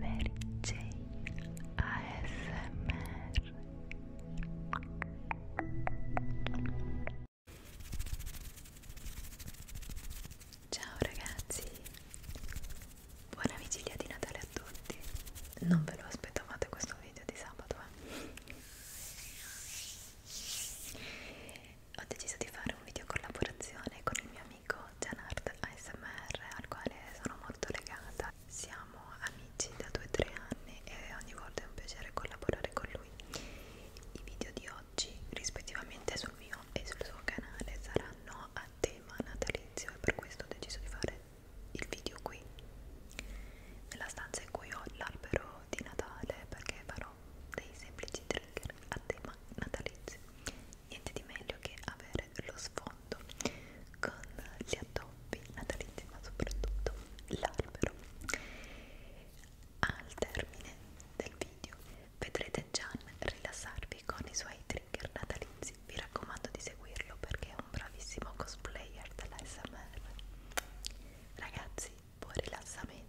Mary Jane ASMR Ciao ragazzi Buona vigilia di Natale a tutti Non ve lo aspettavate questo video di sabato eh? Ho deciso di fare un video collaborazione con il mio amico Janard ASMR al quale sono molto legata. Siamo amici da 2-3 anni e ogni volta è un piacere collaborare con lui. I video di oggi, rispettivamente sul mio e sul suo canale, saranno a tema natalizio e per questo ho deciso di fare il video qui, nella stanza in cui ho l'albero di Natale perché farò dei semplici trigger a tema natalizio niente di meglio che avere lo sfondo con gli addobbi natalizi ma soprattutto l'albero al termine del video vedrete Gian rilassarvi con i suoi trigger natalizi vi raccomando di seguirlo perché è un bravissimo cosplayer dell'ASMR ragazzi buon rilassamento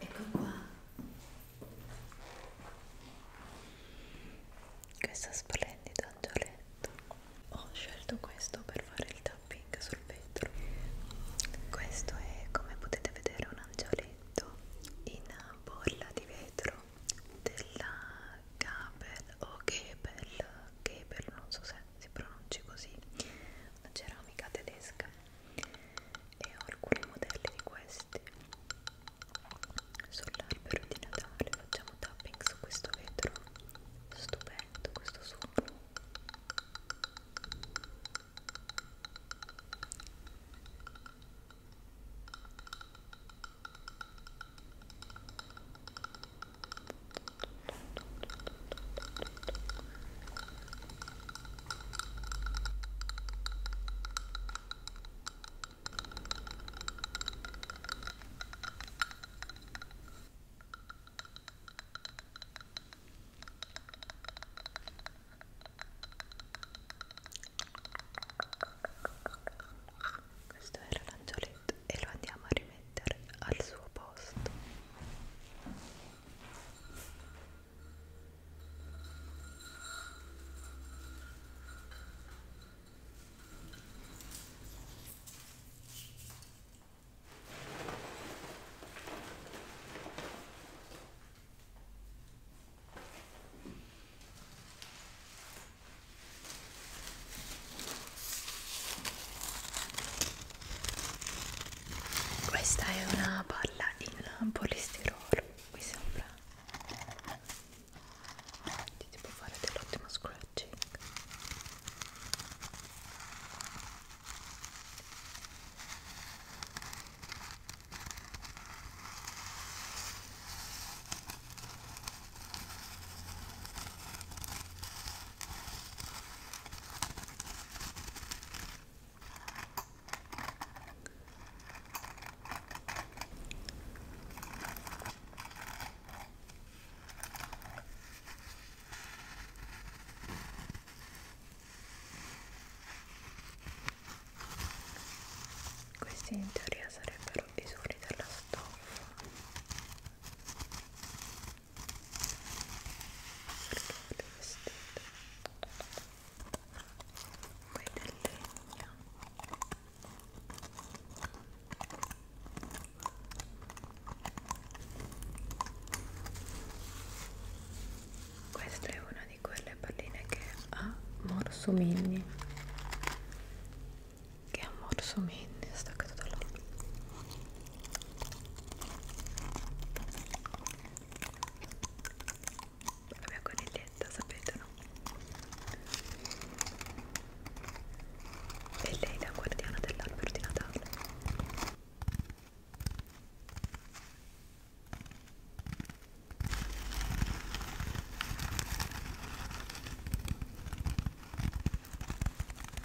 Ecco qua. Questo splendido angioletto. Ho scelto questo per fare il tapping sul vetro. Questo è, come potete vedere, un angioletto in bolla di vetro della Gabel o Gebel, Gebel non so se se si pronunci così una ceramica tedesca e ho alcuni modelli di questi sull'albero di Natale facciamo tapping su questo vetro stupendo questo suono questo era l'angioletto gadget e lo andiamo a rimettere al suo posto questa è una palla in polistirolo, mi sembra. Ti devo fare dell'ottimo scratching. Questi in teoria sarebbero i suoni della stoffa Cercate vestito poi del legno questa è una di quelle palline che ha morsomigli che è un morso menne staccato dall'altro la mia coniglietta sapete no? e lei è la guardiana dell'albero di Natale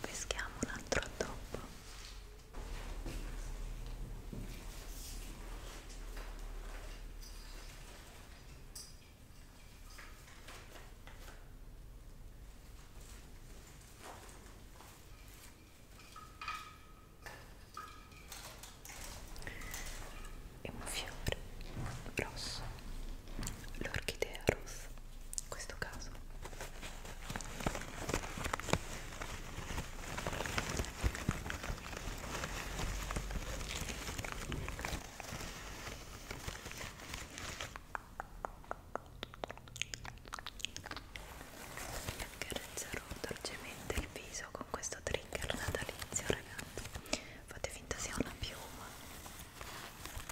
peschiamo un altro dopo è un fiore rosso l'orchidea rossa in questo caso accarezzerò dolcemente il viso con questo trigger natalizio ragazzi fate finta sia una piuma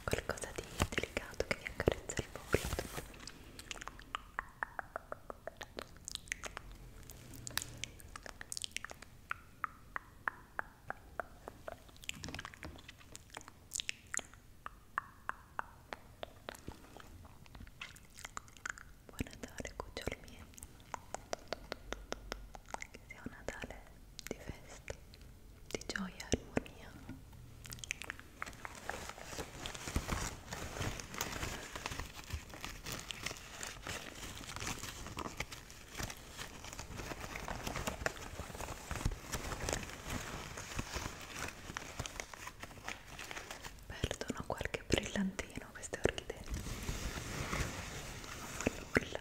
qualcosa di delicato che vi accarezza il volto Buon Natale cuccioli miei Che sia un Natale di festa, di gioia e armonia. Perdono qualche brillantino queste orchidee. Non fanno nulla.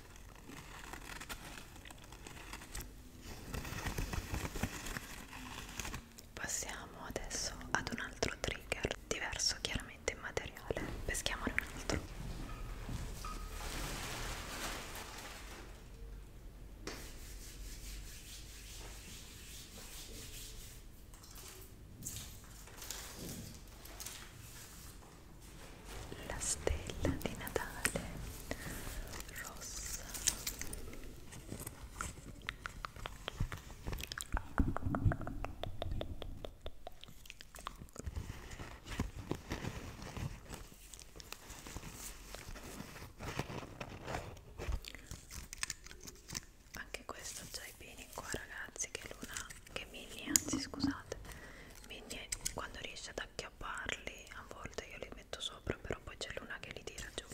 Passiamo adesso ad un altro trigger, diverso chiaramente in materiale, peschiamone un altro la stella di Natale rossa anche questo già i beni qua ragazzi che luna che Minnie anzi scusate Minnie quando riesce ad acchiapparli a volte io li metto sopra però poi c'è l'una che li tira giù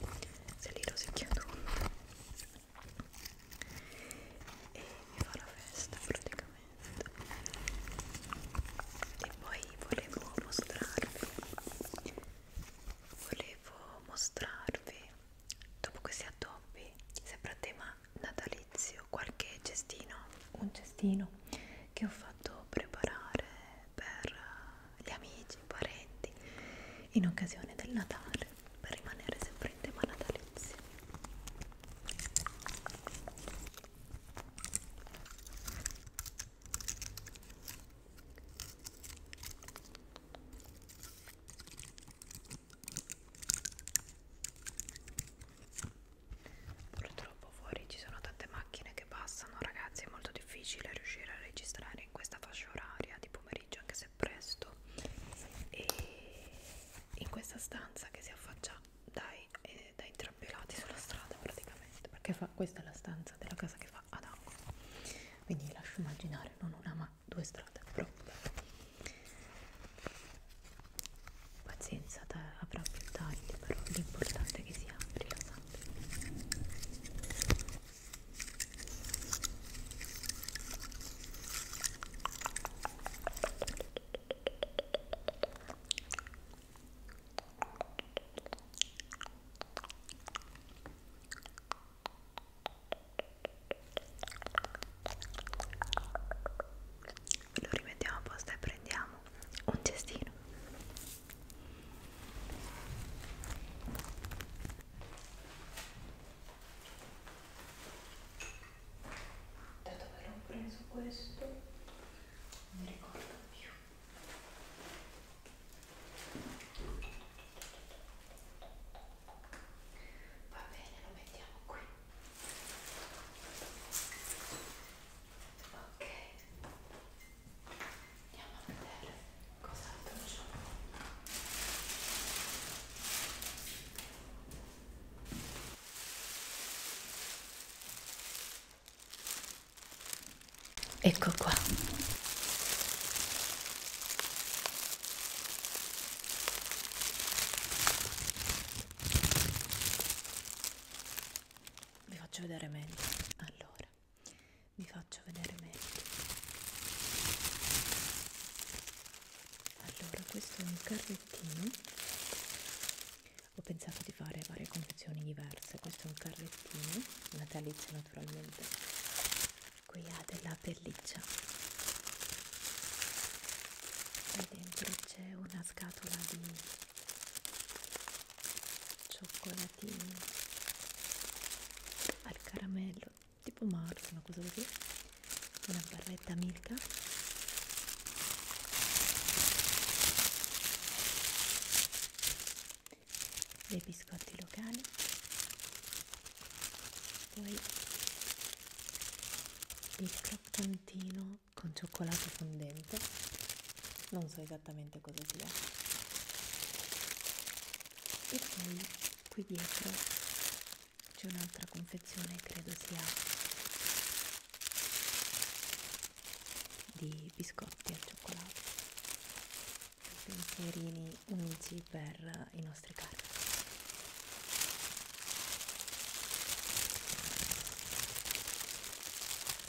se li rosicchia tutto e mi fa la festa praticamente e poi volevo mostrarvi volevo mostrarvi dopo questi addobbi sempre a tema natalizio qualche cestino un cestino che ho fatto preparare per gli amici, i parenti in occasione del Natale per rimanere sempre in tema natalizio Purtroppo fuori ci sono tante macchine che passano, ragazzi, è molto difficile riuscire a registrare in questa fascia oraria di pomeriggio, anche se presto. E in questa stanza che si affaccia dai, eh, dai entrambi i lati sulla strada praticamente, perché fa, questa è la stanza della casa che fa ad angolo. Quindi lascio immaginare non una ma due strade proprio pazienza avrà più tagli però l'importante è che sia rilassante lo rimettiamo a posto e prendiamo un cestino da dove l'ho preso questo? non mi ricordo più va bene lo mettiamo qui ok andiamo a vedere cos'altro c'è ecco qua vi faccio vedere meglio allora vi faccio vedere meglio allora questo è un carrettino ho pensato di fare varie confezioni diverse questo è un carrettino natalizio naturalmente qui ha della pelliccia e dentro c'è una scatola di cioccolatini al caramello tipo Mars una cosa così una barretta milka dei biscotti locali poi il croccantino con cioccolato fondente non so esattamente cosa sia e poi qui dietro c'è un'altra confezione credo sia di biscotti al cioccolato pensierini unici per i nostri cari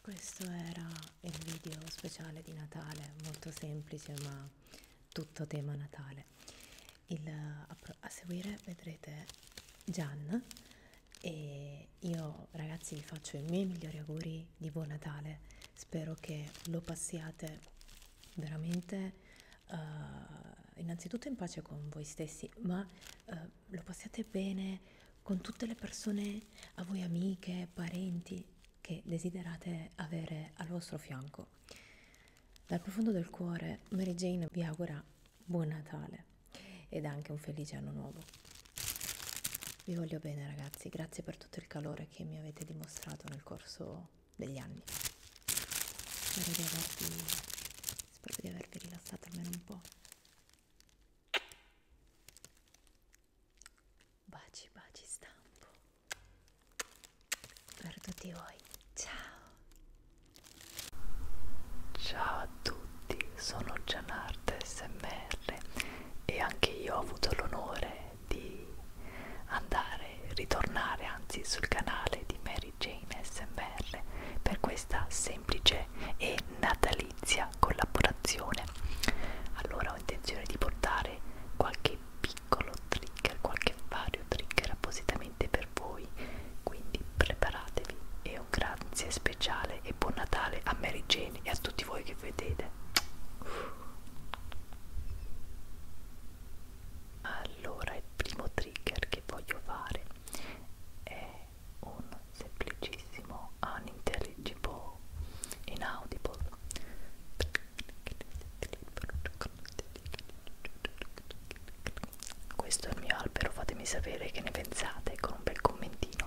Questo era il video speciale di Natale, molto semplice ma tutto tema Natale. Il, a, a seguire vedrete Gian e io ragazzi vi faccio i miei migliori auguri di buon Natale spero che lo passiate veramente uh, innanzitutto in pace con voi stessi ma uh, lo passiate bene con tutte le persone a voi amiche parenti che desiderate avere al vostro fianco dal profondo del cuore Mary Jane vi augura buon Natale ed anche un felice anno nuovo vi voglio bene ragazzi, grazie per tutto il calore che mi avete dimostrato nel corso degli anni. Spero di avervi, spero di avervi rilassato almeno un po'. Baci, baci stampo. Per tutti voi, ciao! Ciao a tutti, sono Gianardo SMR e anche io ho avuto l'onore di andare, ritornare anzi sul canale di Mary Jane SMR per questa semplice e natalizia collaborazione. Allora ho intenzione di portare qualche piccolo trigger, qualche vario trigger appositamente per voi, quindi preparatevi e un grazie speciale e buon Natale a Mary Jane e a tutti voi che vedete. Allora il primo trigger che voglio fare è un semplicissimo unintelligible inaudible questo è il mio albero fatemi sapere che ne pensate con un bel commentino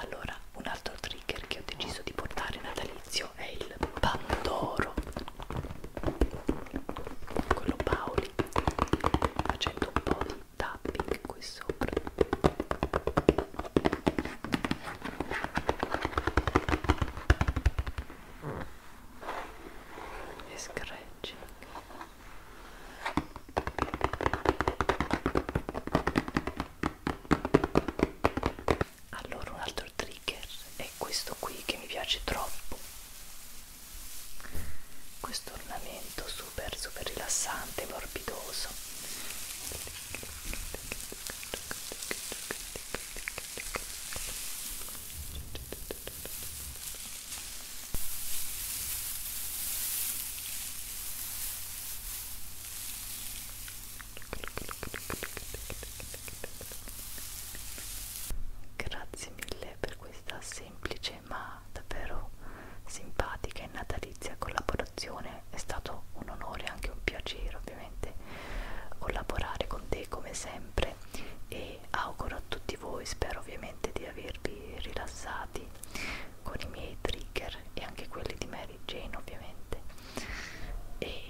Allora, un altro trigger che ho deciso di portare natalizio è il Pandoro, quello Paoli, facendo un po' di tapping qui sopra. Mm. e scratching allora un altro trigger è questo qui che mi piace troppo questo ornamento super super rilassante morbidoso Grazie mille per questa semplice ma davvero simpatica e natalizia collaborazione è stato un onore e anche un piacere ovviamente collaborare con te come sempre e auguro a tutti voi, spero ovviamente di avervi rilassati con i miei trigger e anche quelli di Mary Jane ovviamente e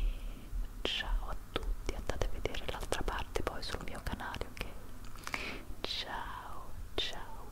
ciao a tutti, andate a vedere l'altra parte poi sul mio canale ok? Ciao, ciao